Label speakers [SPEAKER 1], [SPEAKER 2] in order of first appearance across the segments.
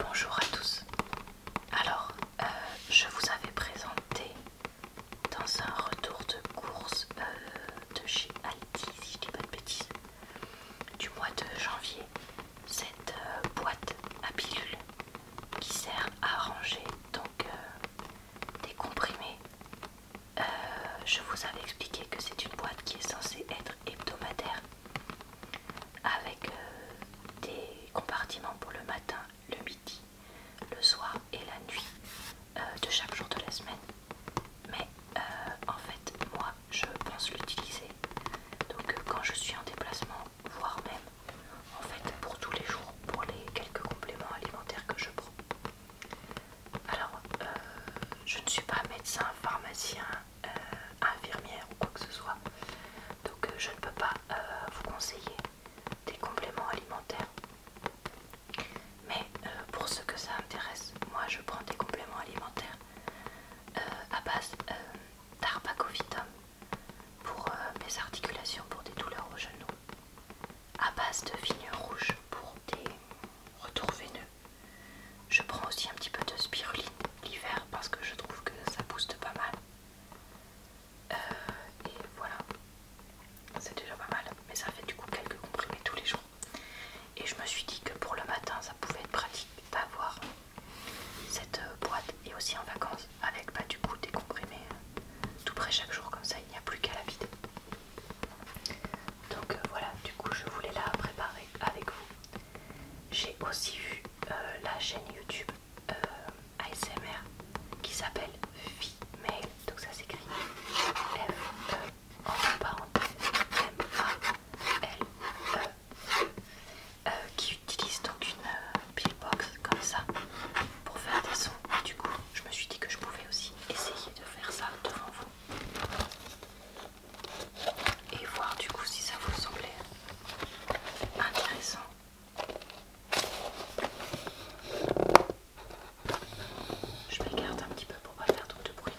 [SPEAKER 1] Bonjour à tous. Alors, euh, je vous avais présenté dans un retour de course euh, de chez Aldi, si je dis pas de du mois de janvier, cette euh, boîte à pilules qui sert à ranger donc des comprimés. je vous avais expliqué que c'est une boîte qui est censée être hebdomadaire avec euh, des compartiments pour le matin, le midi, le soir et la nuit euh, de chaque jour de la semaine. Mais euh, en fait, moi, je pense l'utiliser. Donc quand je suis en déplacement, voire même en fait pour tous les jours, pour les quelques compléments alimentaires que je prends. Alors, je ne suis pas médecin, pharmacien, euh, infirmière ou quoi que ce soit. Donc euh, je ne peux pas euh, vous conseiller des compléments alimentaires. Mais pour ceux que ça intéresse, moi je prends des compléments alimentaires à base d'arbacovitum pour mes articulations, pour des douleurs au genou, à base de vigne rouge pour des retours veineux, je prends aussi un petit peu de spiruline l'hiver parce que je trouve que ça booste pas mal. Euh, et voilà, c'est déjà pas mal, mais ça fait du coup quelques comprimés tous les jours. Et je me suis dit que pour le matin, ça pouvait être pratique d'avoir cette euh, boîte et aussi en vacances avec pas bah, du coup des comprimés euh, tout près chaque jour, comme ça il n'y a plus qu'à la vider. Donc euh, voilà, du coup je voulais la préparer avec vous. J'ai aussi vu euh, la chaîne YouTube euh, ASMR qui s'appelle Female, donc ça s'écrit F -E, M A L E, qui utilise donc une pillbox comme ça pour faire des sons. du coup, je me suis dit que je pouvais aussi essayer de faire ça devant vous et voir du coup si ça vous semblait intéressant. Je regarde un petit peu pour pas faire trop de bruit.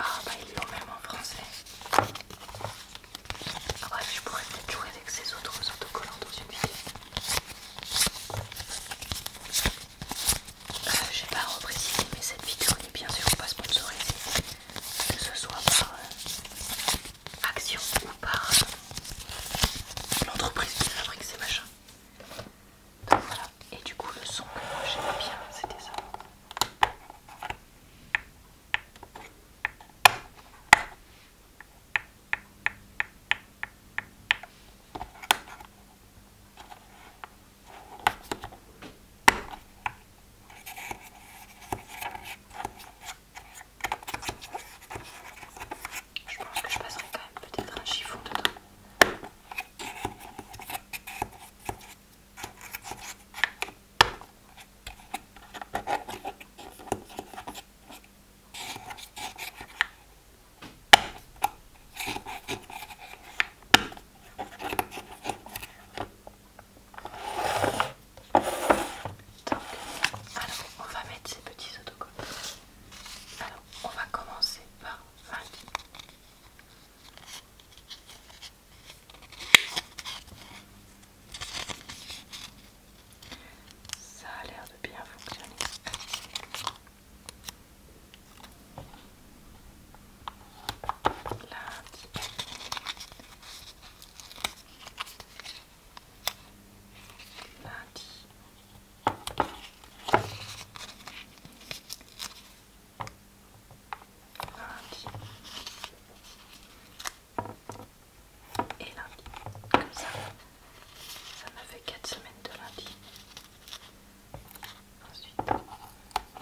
[SPEAKER 1] Ah, bah ils même en français. Bref, ah je pourrais peut-être jouer avec ces autres autocollants dans une vidéo. Je euh, J'ai pas à repréciser mais cette vidéo n'est bien sûr pas sponsorisée, que ce soit par euh, Action ou par euh, l'entreprise qui fabrique ces machins. voilà, et du coup, le son que moi j'aimais bien, c'était ça. Je pense que je passerai quand même peut-être un chiffon dedans alors on va mettre ces petits autocollants. Alors on va commencer par 20. Ça a l'air de bien fonctionner et lundi. Comme ça, ça me fait 4 semaines de lundi. Ensuite,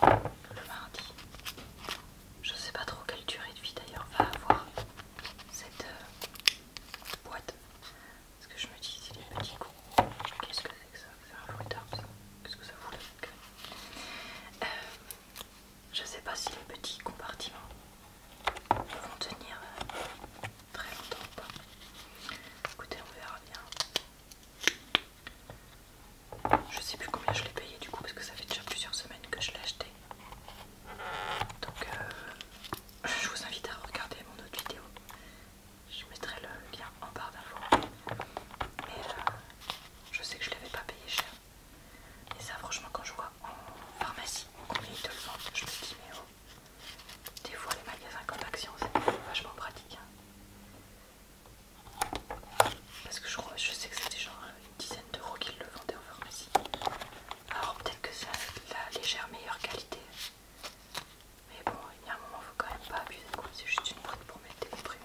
[SPEAKER 1] le mardi. Je sais pas trop quelle durée de vie d'ailleurs va avoir cette euh, boîte. Parce que je me dis, c'est les petits gros. Qu'est-ce que c'est que ça C'est un bruiteur, ça Qu'est-ce que ça fout euh, je sais pas si les petits compartiments vont tenir euh, très longtemps ou pas. Écoutez, on verra bien. Je sais plus combien je l'ai payé du coup parce que ça fait déjà plusieurs semaines que je l'ai acheté. Donc euh, je vous invite à regarder mon autre vidéo. Je mettrai le lien en barre d'infos. Mais je sais que je ne l'avais pas payé cher. Et ça, franchement, quand je vois en pharmacie combien ils te le vendent, je me dis, mais oh, des fois les magasins comme Action, c'est vachement pratique. Hein. Parce que je, crois, sais que c'était genre une dizaine d'euros qu'ils le vendaient en pharmacie. Alors peut-être que ça la légère meilleure qualité. Mais bon, il y a un moment, faut quand même pas abuser, C'est juste une prise pour mettre des comprimés,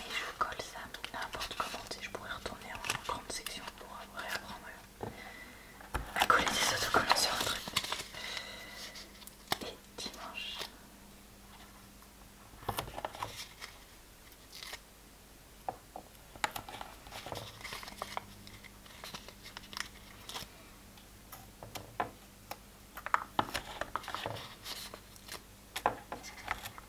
[SPEAKER 1] Et je colle ça n'importe comment, je pourrais retourner en grande section pour réapprendre à coller des autocollants sur un truc. Et dimanche.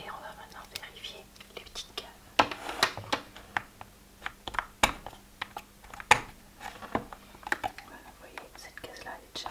[SPEAKER 1] Et on va maintenant vérifier les petites cases. Voilà, vous voyez, cette case-là, est déjà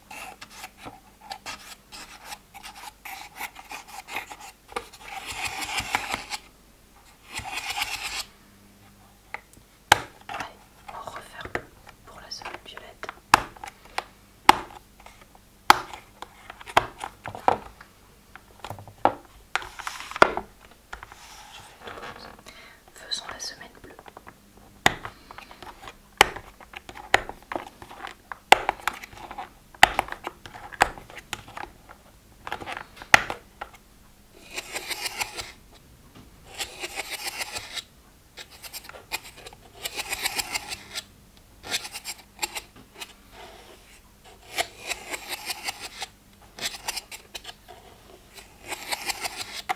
[SPEAKER 1] Allez, on referme pour la semaine violette faisons la semaine bleue.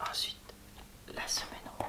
[SPEAKER 1] Ensuite, la semaine rose.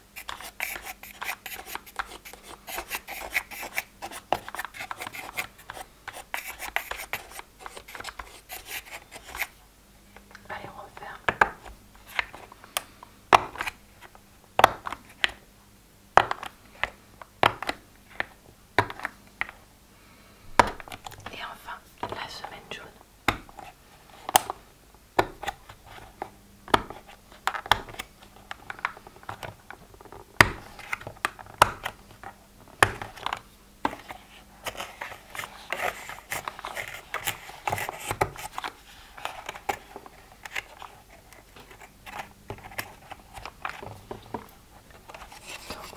[SPEAKER 1] Allez, on referme. Et enfin, la semaine jaune.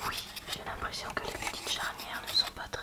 [SPEAKER 1] Oui, j'ai l'impression que les petites charnières ne sont pas très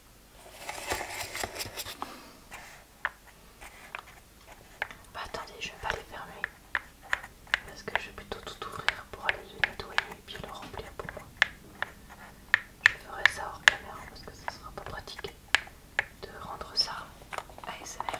[SPEAKER 1] Bah, attendez, je ne vais pas les fermer parce que je vais plutôt tout ouvrir pour aller le nettoyer et puis le remplir pour moi. Je ferai ça hors caméra parce que ce sera pas pratique de rendre ça ASMR.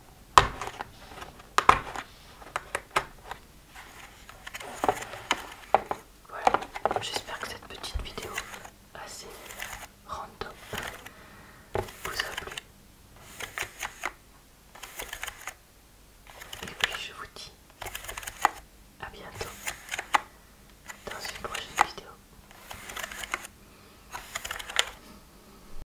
[SPEAKER 1] Voilà, j'espère que cette petite vidéo assez random vous a plu. Et puis je vous dis à bientôt dans une prochaine vidéo.